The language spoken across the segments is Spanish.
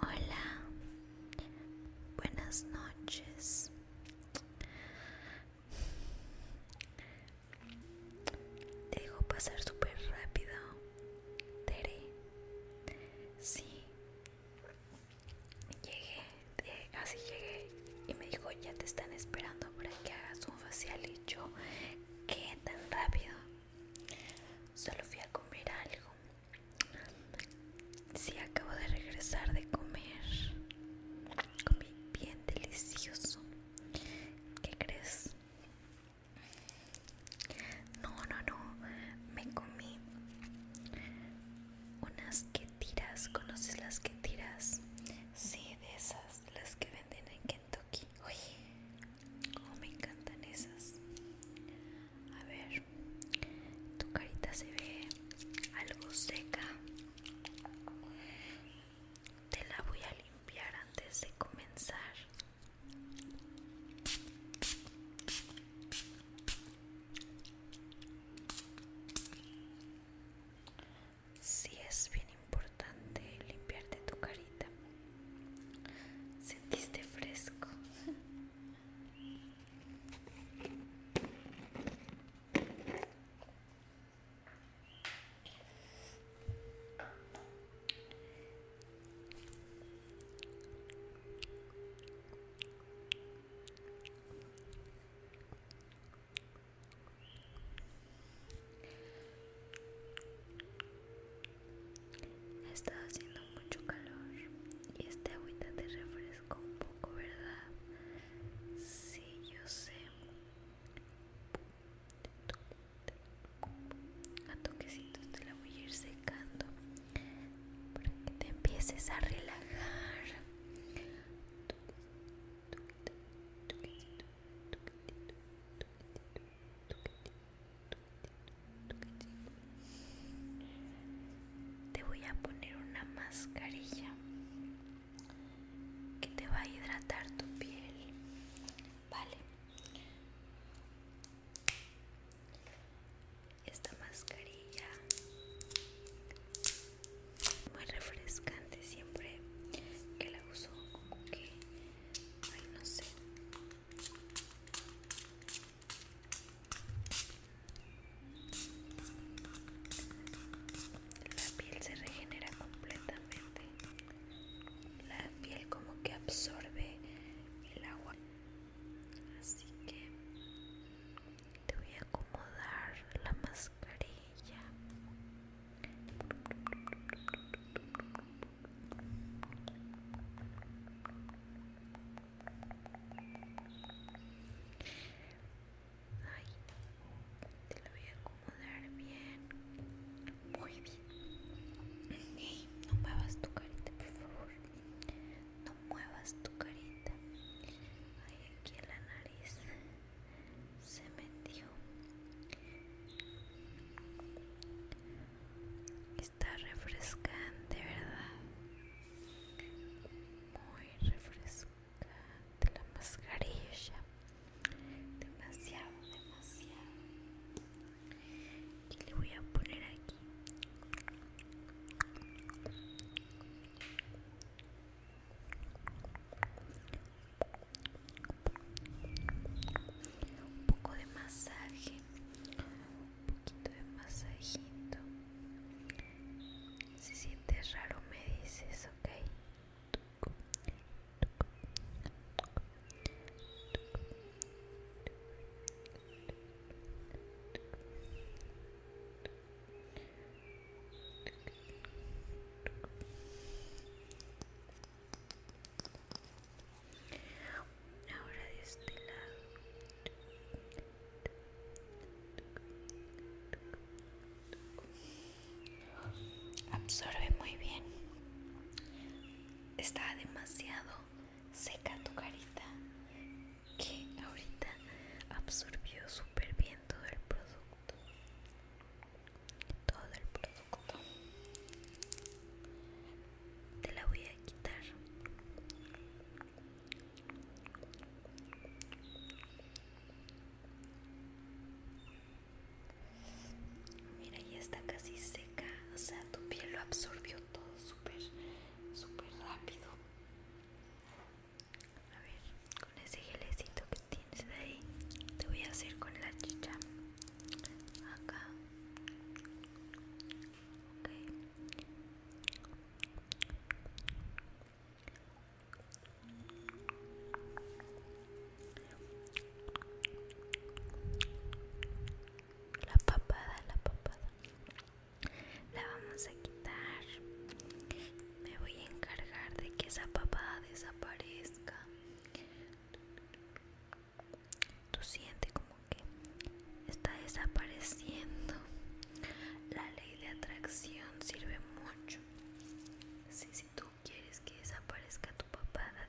Hola, buenas noches. Dejo pasar súper rápido. Tere. Sí, Llegué, eh, así llegué y me dijo, ya te están esperando para que hagas un facial y yo, ¿qué tan rápido? Solo fui a comer algo. Si acabo de regresar de comer. Comí bien delicioso. ¿Qué crees? No, no, no. Me comí unas que tiras. ¿Conoces las que tiras? Sí, de esas, las que venden en Kentucky. Oye, oh, cómo me encantan esas. A ver, tu carita se ve algo seca. Te la voy a limpiar antes de comenzar. Si sí, es bien importante limpiarte tu carita. Sentiste fresco. Ha haciendo mucho calor y este agüita te refresco un poco, ¿verdad? Sí, yo sé. A toquecitos te la voy a ir secando para que te empieces a relajar te voy a poner una mascarilla que te va a hidratar tu piel vale esta mascarilla muy refrescante siempre que la uso como que ay no sé la piel se regenera completamente la piel como que absorbe el agua así que te voy a acomodar la mascarilla te lo voy a acomodar bien. Muy bien. no no hagas tu carita, por favor. No muevas tu carita. hay aquí en la nariz se metió. Está refrescante, ¿verdad? Muy refrescante la mascarilla. Demasiado, demasiado y le voy a poner aquí un poco de masaje un poquito de masajito si sientes raro me dices ok Ahora este Absorbe muy bien. Está demasiado seca tu carita que ahorita absorbió súper bien todo el producto todo el producto te la voy a quitar mira ya está casi seca o sea tu piel lo absorbió todo súper, súper rápido. A ver, con ese gelecito que tienes de ahí, te voy a hacer con la chicha. Acá la papada la papada la vamos a quitar me voy a encargar de que esa papada desaparezca tú sientes como que está desapareciendo la ley de atracción sirve mucho si, si tú quieres que desaparezca tu papada,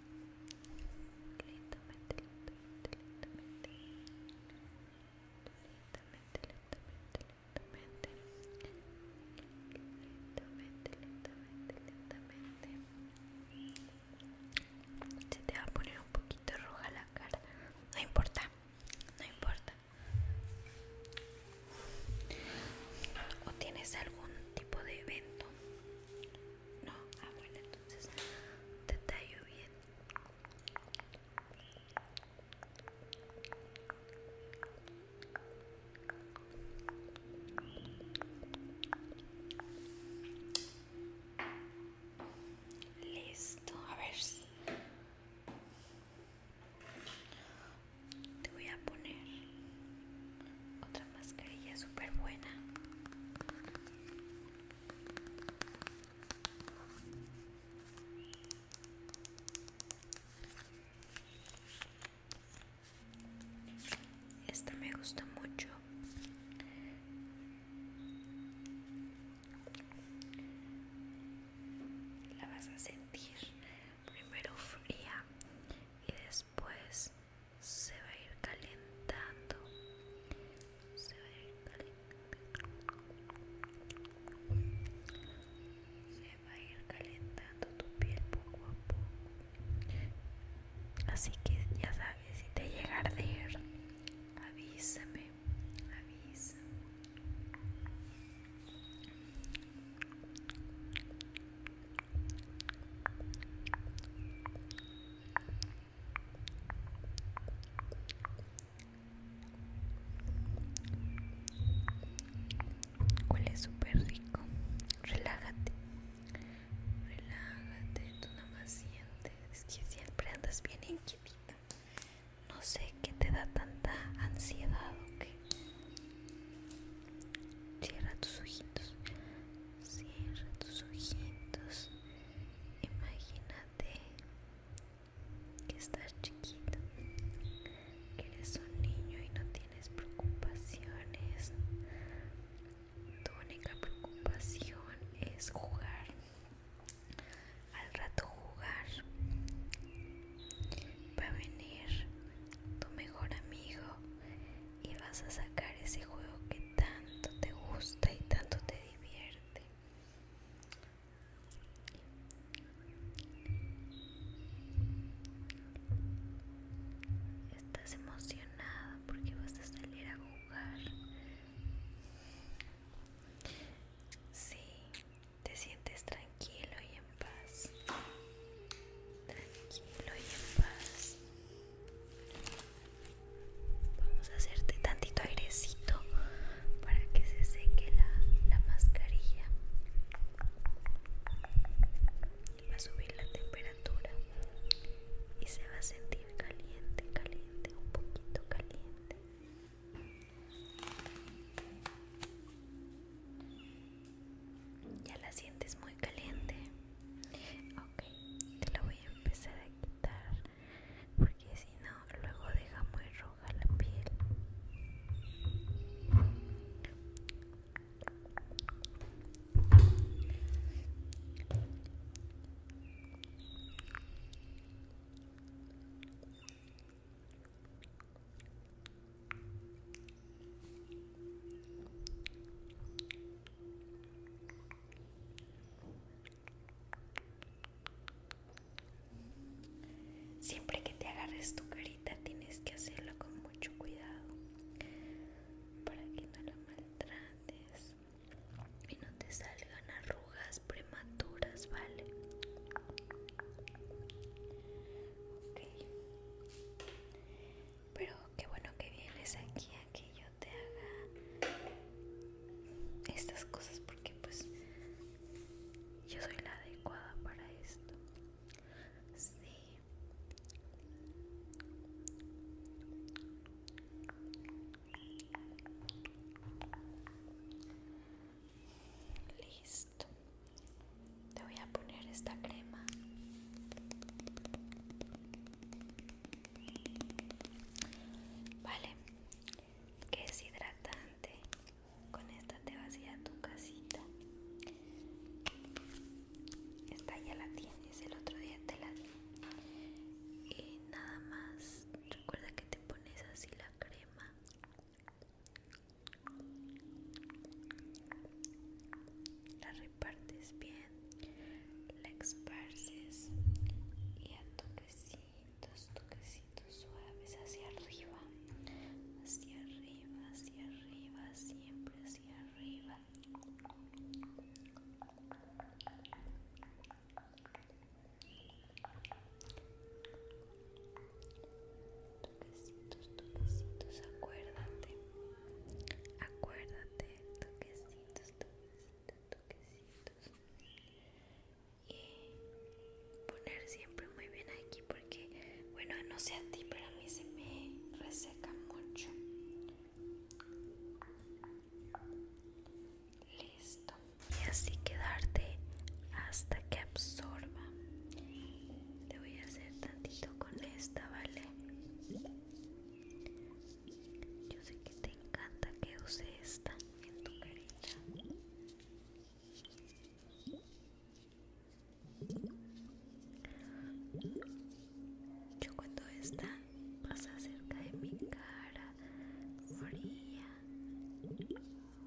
lentamente, lentamente, lentamente, lentamente, lentamente, lentamente, lentamente, lentamente, lentamente. Se te va a poner un poquito roja la cara, no importa, no importa. ¿O tienes algún tipo de evento no, ah bueno, entonces te tallo bien. Listo, a ver si te voy a poner otra mascarilla super buena esta me gusta mucho la vas a sentir primero fría y después se va a ir calentando se va a ir calentando se va a ir calentando tu piel poco a poco así que ya sabes si te llega a arder avísame avísame Huele súper rico. Relájate. Relájate. Tú nada más sientes. que siempre andas bien inquietita. No sé qué te da tanta ansiedad o Cierra tus ojitos. Cierra tus ojitos. Imagínate que estás chiquito, que eres un niño y no tienes preocupaciones. Tu única preocupación es jugar. Al rato jugar. Va a venir tu mejor amigo y vas a sacar ese juego que tanto te gusta y tanto te divierte. Estás emocionada porque vas a salir a jugar. Sí, te sientes tranquilo y en paz tranquilo y en paz. Vamos a hacerte tantito airecito para que se seque la, la mascarilla. Va a subir la temperatura y se va a sentir caliente, caliente, un poquito caliente. Ya la sientes muy caliente. Ok, te la voy a empezar a quitar porque si no, luego deja muy roja la piel. Siempre que te agarres tu carita tienes que hacerlo con mucho cuidado para que no la maltrates y no te salgan arrugas prematuras, ¿vale? Ok. Pero qué bueno que vienes aquí a que yo te haga estas cosas porque pues yo soy la adecuada para esto. Sí. Listo te voy a poner esta crema vale que es hidratante con esta te vas a ir a tu casita esta ya la tienes el otro día te la di y nada más recuerda que te pones así la crema la partes bien, la esparces y a toquecitos, toquecitos suaves hacia arriba, hacia arriba, hacia arriba, siempre hacia arriba. Toquecitos, toquecitos, acuérdate Acuérdate, toquecitos, toquecitos, toquecitos. Y poner siempre muy bien aquí porque, bueno, no sé a ti, pero a mí se me reseca mucho. Listo. Y así quedarte hasta que absorba. Te voy a hacer tantito con esta, ¿vale? Yo sé que te encanta que use esta en tu carita. Yo cuando esta pasa cerca de mi cara fría,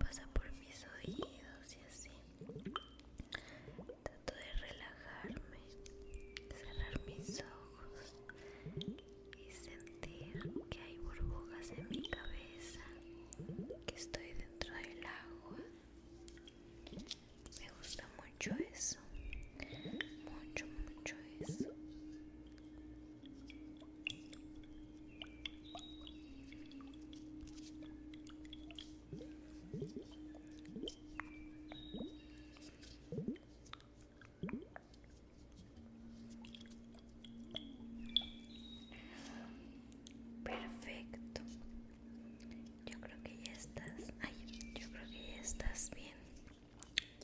pasa por mis oídos y así. Trato de relajarme, cerrar mis ojos y sentir que hay burbujas en mi cabeza, que estoy dentro del agua. Me gusta mucho eso, mucho, mucho eso. Perfecto. Yo creo que ya estás. Ay, yo creo que ya estás bien.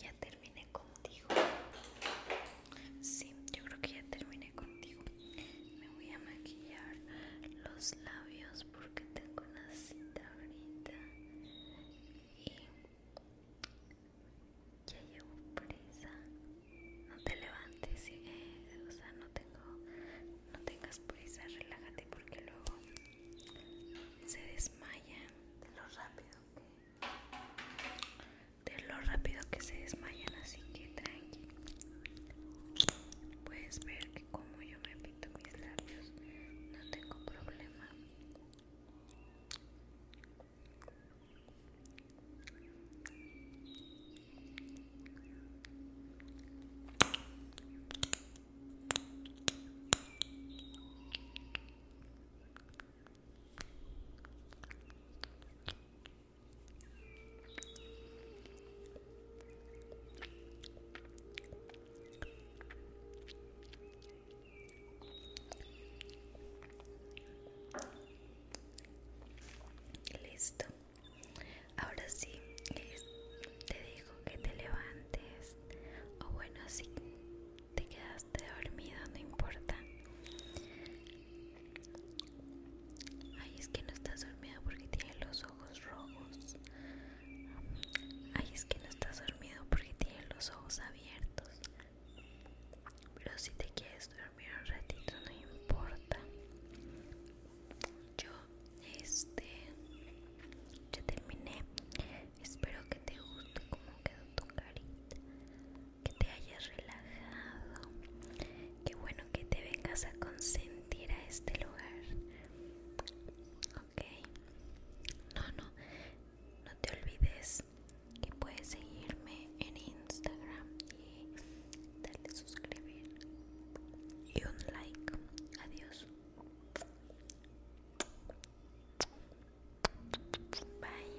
Ya terminé contigo. Sí, yo creo que ya terminé contigo. Me voy a maquillar los labios porque tengo una cita ahorita y ya llevo prisa. No te levantes, o sea, no tengo, no tengas prisa, relájate porque luego se desmayan de lo rápido que, de lo rápido que se desmayan, así que tranqui. Puedes ver que como yo me repito mis labios no tengo problema Listo. Ahora sí, te digo que te levantes. O bueno, si te quedaste dormido, no importa. Ay, es que no estás dormido porque tienes los ojos rojos. Ay, es que no estás dormido porque tienes los ojos abiertos. Pero si te quieres dormir un ratito, no importa. Yo, este, ya terminé. Espero que te guste cómo quedó tu carita, que te hayas relajado. Qué bueno que te vengas a consentir a este lugar. Ok. No, no. No te olvides que puedes seguirme en Instagram y darle suscribir y un like. Adiós. Bye.